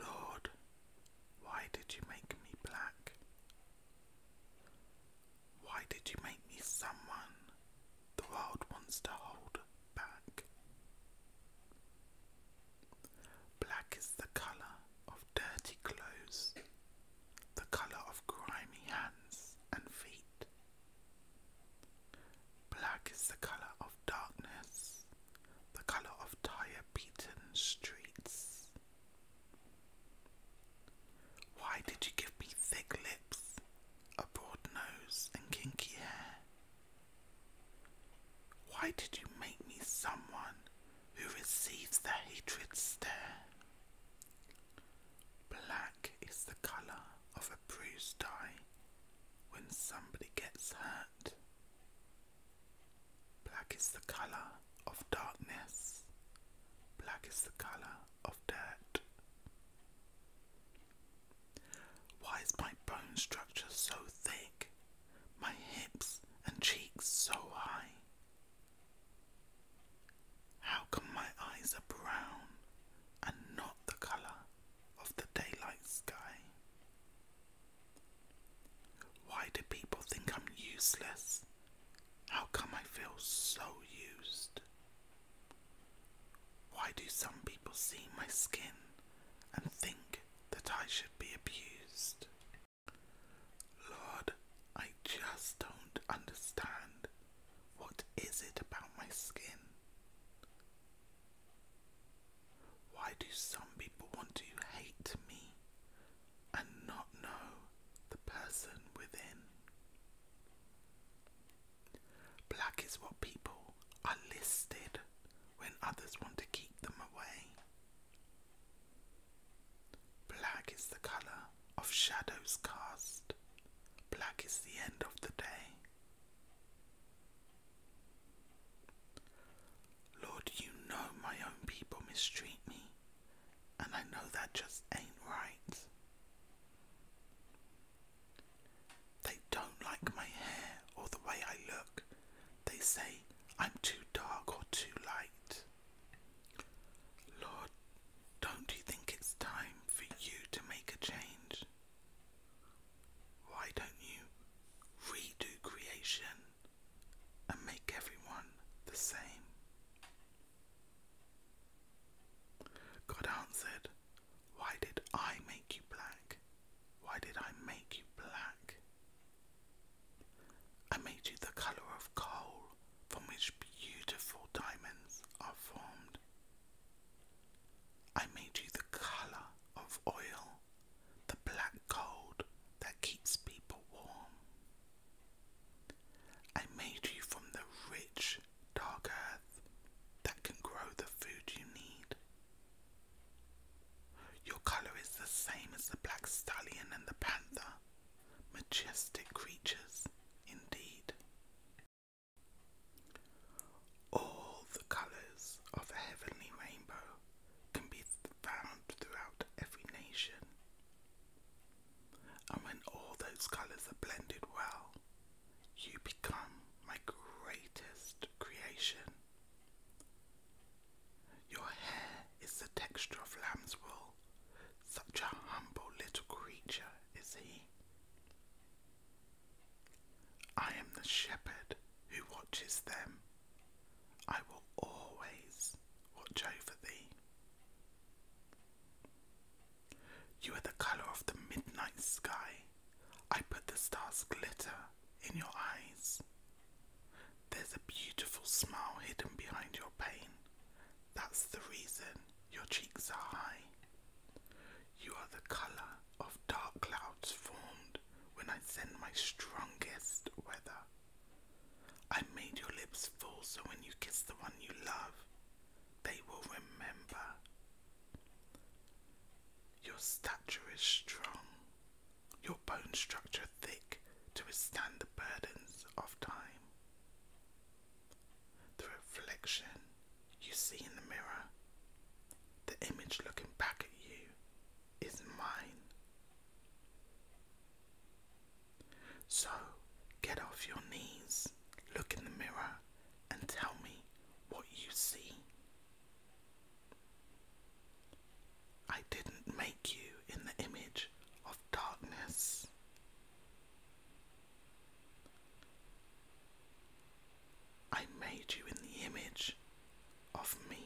Lord, why did you make me black? Why did you make me someone the world wants to hold back? Black is the colour of dirty clothes, the colour of grimy hands and feet, Black is the colour of darkness, the colour of tire beaten streets. Why did you give me thick lips, a broad nose, and kinky hair? Why did you make me someone who receives the hatred stare? Black is the colour of a bruised eye when somebody gets hurt. Black is the colour of darkness. Black is the colour of dirt. Why is my bone structure so thick? My hips and cheeks so high? How come my eyes are brown and not the colour of the daylight sky? Why do people think I'm useless? How come I feel so used? Why do some people see my skin and think that I should be abused? Lord, I just don't understand what is it about my skin? Why do some people want to hate me and not know the person within? Black is what people are listed when others want to keep them away. Black is the colour of shadows cast, black is the end of the day. Lord, you know my own people mistreat me, and I know that just ain't right. They don't like my hair or the way I look. They say I'm too dark or too light. Lord, don't you think it's time for you to make a change? Why don't you redo creation and make everyone the same? God answered, Why did I make you black? Why did I make you black? I made you the colour of coal from which beautiful diamonds are formed. I made you the colour of oil, the black gold that keeps people warm. I made you from the rich, dark earth that can grow the food you need. Your colour is the same as the black stallion and the panther, majestic creatures indeed. All the colours of a heavenly rainbow can be found throughout every nation, and when all those colours are blended well, you become my greatest creation. Your hair is the texture of lamb's wool. Such a humble little creature is he. I am the shepherd who watches them. I will always watch over thee. You are the colour of the midnight sky. I put the stars glitter in your eyes. There's a beautiful smile hidden behind your pain. That's the reason your cheeks are high. You are the colour of dark clouds formed when I send my strongest weather. I made your lips full so when you kiss the one you love, they will remember. Your stature is strong, your bone structure thick to withstand the burdens of time. The reflection you see in the mirror, the image looking back at you, is mine. So get off your knees, look in the mirror, and tell me what you see. I didn't make you in the image of darkness. I made you in the image of me.